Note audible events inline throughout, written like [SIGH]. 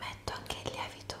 Metto anche il lievito.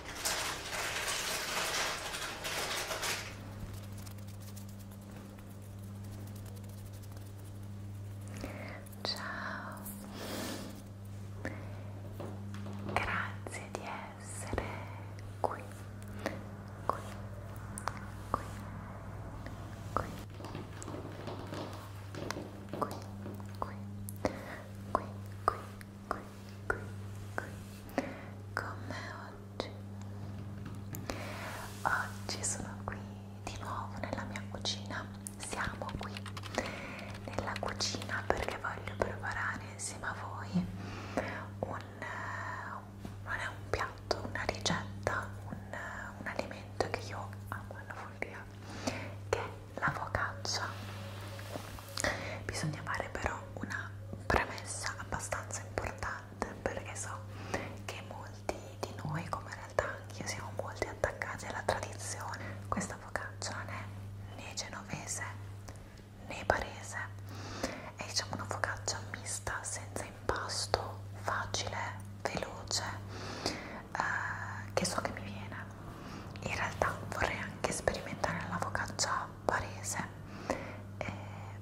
Ciao, grazie di essere qui, qui, qui, qui, qui, qui, qui, qui, qui, qui, qui con me oggi. Oggi sono qui di nuovo nella mia cucina. Siamo qui nella cucina perché voglio preparare insieme a voi un, eh, non è un piatto, una ricetta, un, un alimento che io amo alla follia che è la focaccia bisogna fare però una premessa abbastanza importante perché so che molti di noi come in realtà anche io siamo molti attaccati alla tradizione questa focaccia non è né genovese né barese è diciamo una focaccia mista senza impasto facile veloce eh, che so che mi viene in realtà vorrei anche sperimentare la focaccia barese eh,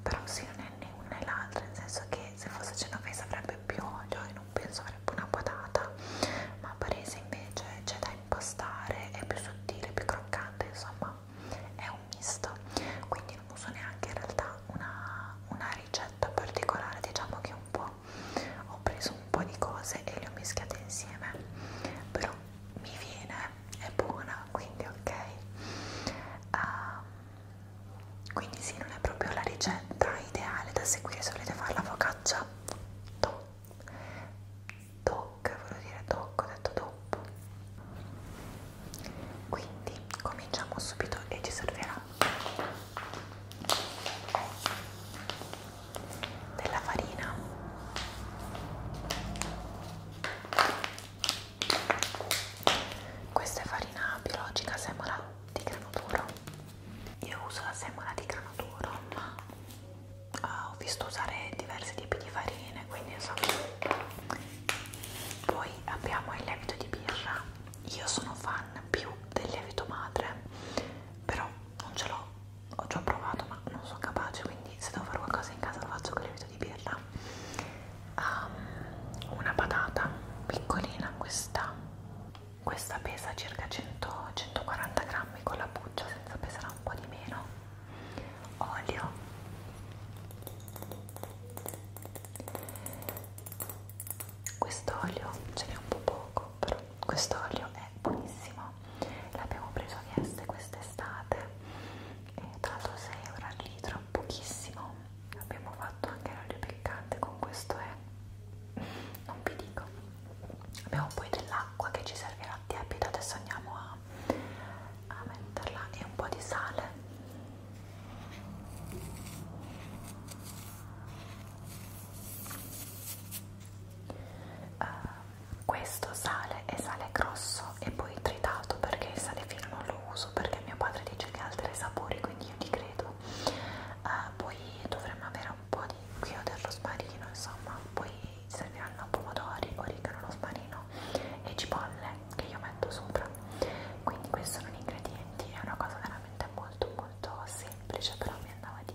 però sì non è né una né l'altra nel senso che se fosse genovese avrebbe più olio e non penso avrebbe una patata ma barese invece c'è da impastare è più sottile, più croccante insomma è un misto quindi non uso neanche in realtà una, una ricetta particolare diciamo che un po' ho preso un un po' di cose e le ho mischiate insieme però mi viene, è buona quindi ok uh, quindi sì non è proprio la ricetta ideale da seguire se volete fare la focaccia to toc, volevo dire toc, ho detto dopo quindi cominciamo subito e ci servirà della farina questa è farina biologica semola di grano duro io uso la semola di grano duro ma eh, ho visto usare diversi tipi di farine quindi insomma poi abbiamo il lievito di birra io sono fan più del lievito madre però non ce l'ho ho già provato ma non sono capace quindi se devo fare qualcosa in casa lo faccio con lievito di birra um, una patata piccolina questa questa pesa circa 100, 140 grammi con la buccia senza pesare un po' di meno olio questo olio ce n'è un po' poco però questo olio è buonissimo però l'abbiamo preso a Vieste quest'estate e tra l'altro 6 euro al litro, pochissimo abbiamo fatto anche l'olio piccante con questo è, non vi dico abbiamo poi dell'acqua che ci servirà tiepida, adesso andiamo a, a metterla e un po' di sale uh, questo sale è sale grosso e poi tritato perché il sale fino non lo uso perché mio padre dice che altera i sapori quindi io ti credo uh, poi dovremmo avere un po' di chiodo del rosmarino insomma poi serviranno pomodori, origano, rosmarino e cipolle che io metto sopra quindi questi sono gli ingredienti è una cosa veramente molto molto semplice però mi andava di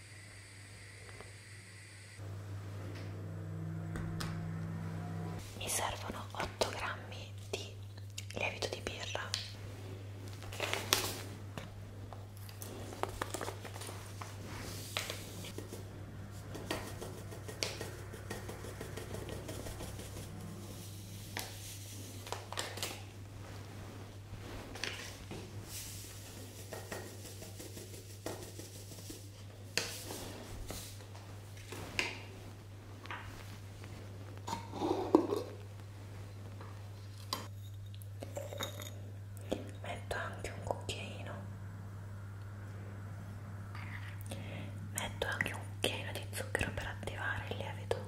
Mi servono 8 grammi di lievito di birra. Metto anche un cucchiaino, metto anche un cucchiaino di zucchero per attivare il lievito.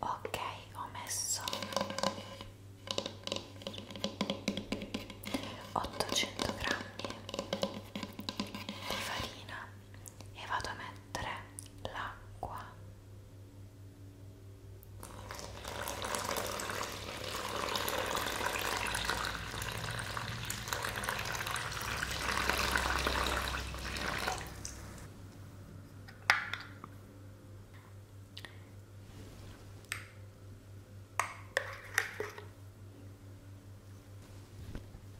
Ok, ho messo 800 grammi di farina e vado a mettere l'acqua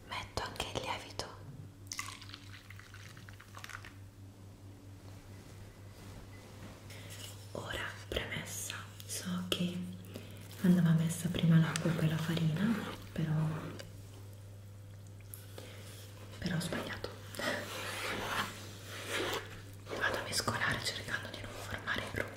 metto anche il lievito ora premessa so che andava messa prima l'acqua e poi la farina però però ho sbagliato vado a mescolare cercando di non formare grumi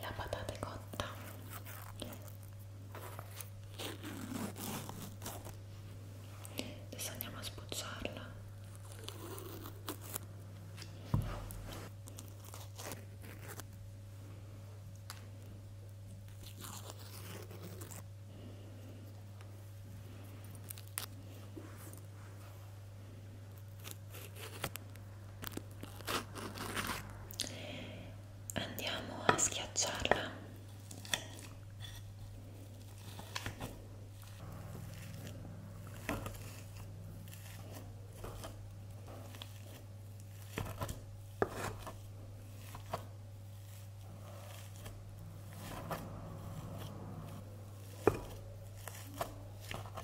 la patata è cotta adesso andiamo a sbucciarla andiamo a schiacciarla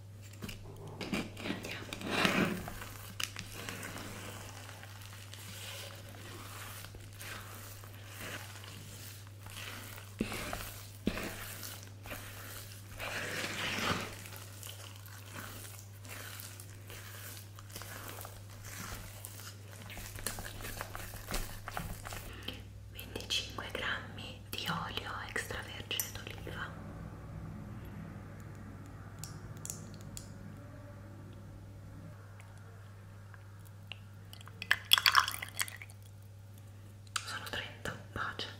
Andiamo. Venticinque grammi di olio extravergine d'oliva sono 30, pace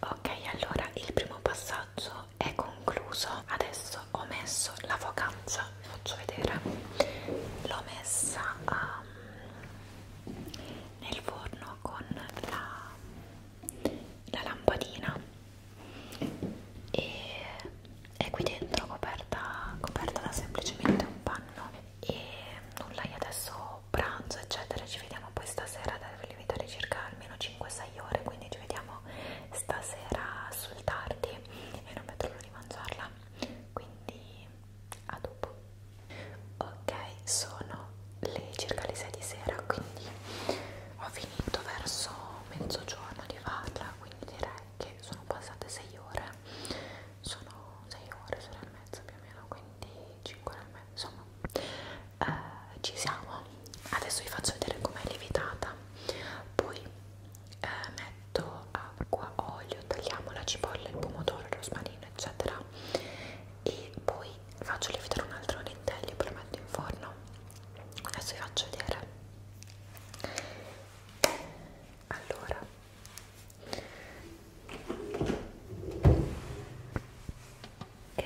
ok allora il primo passaggio è concluso adesso ho messo la focancia vi faccio vedere l'ho messa um, nel forno con la, la lampadina e è qui dentro coperta, coperta da semplicemente un panno e nulla io adesso ho pranzo eccetera ci vediamo poi stasera devo lievitare circa almeno 5-6 ore quindi ci vediamo stasera sul tardi e non vedo l'ora di mangiarla quindi a dopo ok sono le circa le 6 di sera quindi ho finito verso mezzogiorno di farla quindi direi che sono passate 6 ore sono 6 ore, sono e mezza più o meno quindi 5 nel mezzo, insomma eh, ci siamo adesso vi faccio vedere com'è lievitata poi eh, metto acqua, olio, tagliamo la cipolla, il pomodoro, il rosmarino eccetera e poi faccio lievitare un altro lentello e poi lo metto in forno adesso vi faccio vedere allora ok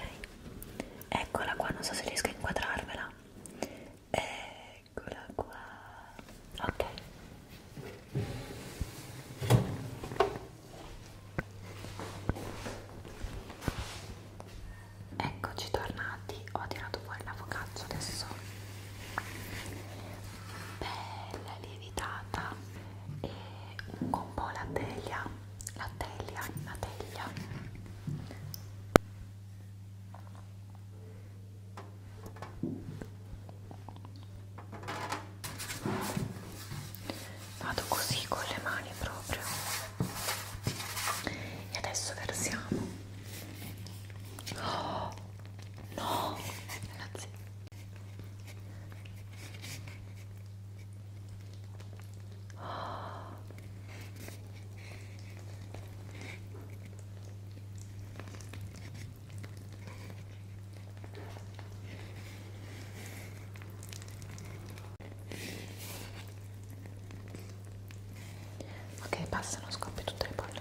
eccola qua non so se riesco a inquadrarvela eccola qua ok eccoci tornati ho tirato fuori la focaccia adesso bella lievitata e un po' la teglia la teglia, la teglia vado così con le mani proprio e adesso versiamo oh, no ragazzi Ok, passano, scoppia tutte le palle.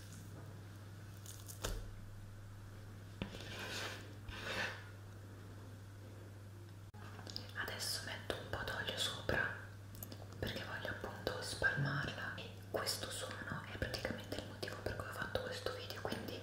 Adesso metto un po' d'olio sopra perché voglio appunto spalmarla e questo suono è praticamente il motivo per cui ho fatto questo video, quindi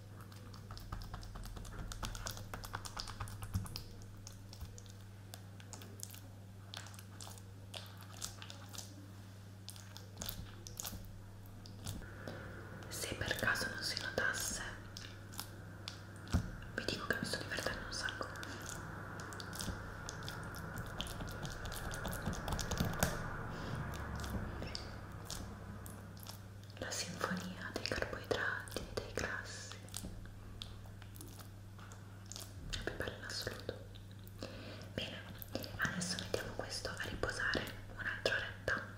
Se per caso non si notasse, vi dico che mi sto divertendo un sacco la sinfonia dei carboidrati e dei grassi è più bella in assoluto bene adesso mettiamo questo a riposare un'altra oretta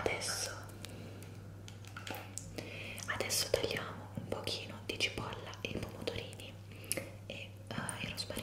adesso adesso tagliamo un pochino di cipolla e i pomodorini e uh, il rosmarino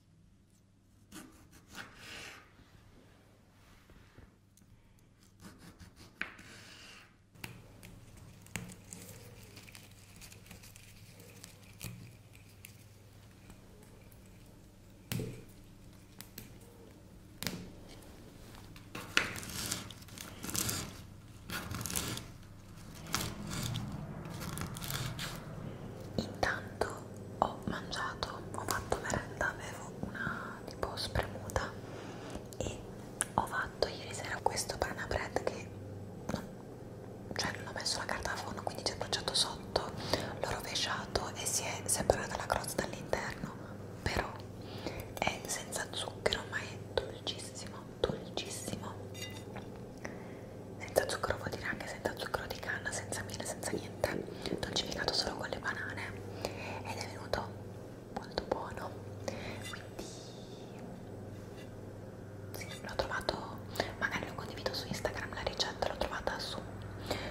Intanto ho mangiato, ho fatto merenda, avevo una tipo spremuta e ho fatto ieri sera questo banana bread che non, cioè non ho messo la carta da forno quindi ci ho bruciato sotto, l'ho rovesciato e si è separata la crosta all'interno però è senza zucchero ma è dolcissimo, dolcissimo senza zucchero vuol dire anche senza zucchero di canna, senza miele, senza niente niente dolcificato solo con le banane ed è venuto molto buono quindi sì, l'ho trovato magari lo condivido su Instagram la ricetta l'ho trovata su,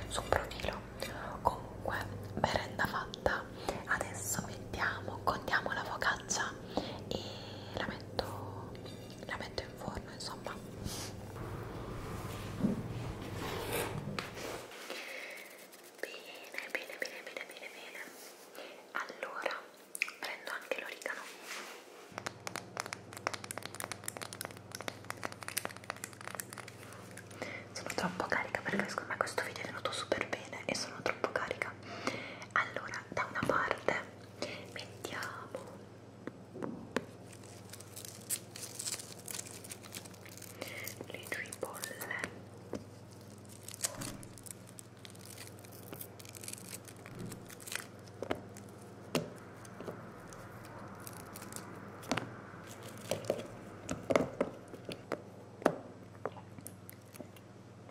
su un profilo comunque merenda fatta adesso vediamo contiamo la focaccia e la metto la metto in forno insomma Bene, bene, bene, bene, bene, bene. Allora, prendo anche l'origano. Sono troppo carica perché secondo me questo video è venuto super bene e sono troppo carica. Allora, da una parte mettiamo le tue bolle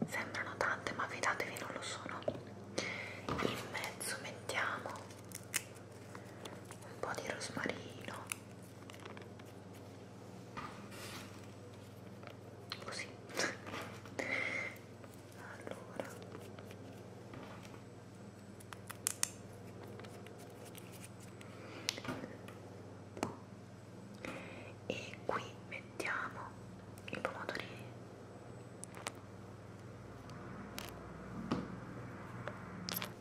sembrano tante ma fidatevi non lo sono in mezzo mettiamo un po' di rosmarino così allora e qui mettiamo i pomodorini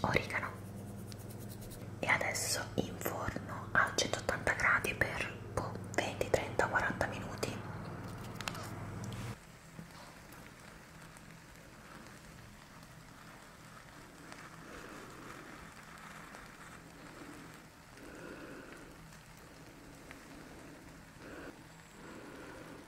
origano e adesso in forno a 180 gradi per boh, 20, 30, 40 minuti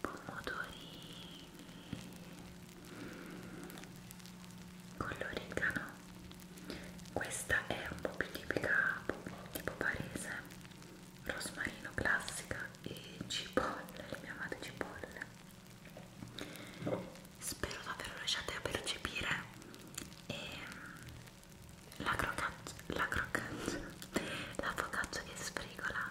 pomodorini con l'origano questa è un po' più tipica tipo parese rosmarino classica e cipolle le mie amate cipolle spero davvero riusciate a percepire e ehm, la crocaccia la crocaccia la [LAUGHS] focaccia che sfrigola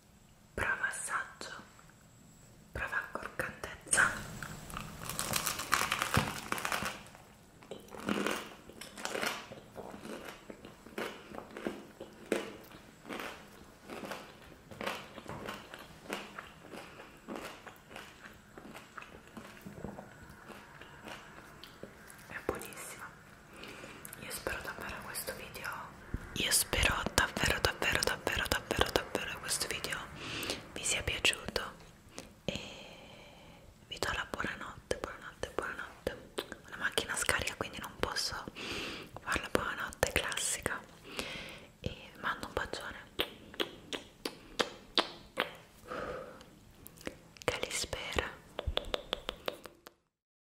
prova assaggio, prova accorcantezza. È buonissima. Io spero davvero questo video Io spero davvero davvero davvero davvero davvero questo video vi sia piaciuto e vi do la buonanotte buonanotte buonanotte la macchina scarica quindi non posso fare la buonanotte classica e vi mando un bacione che li spera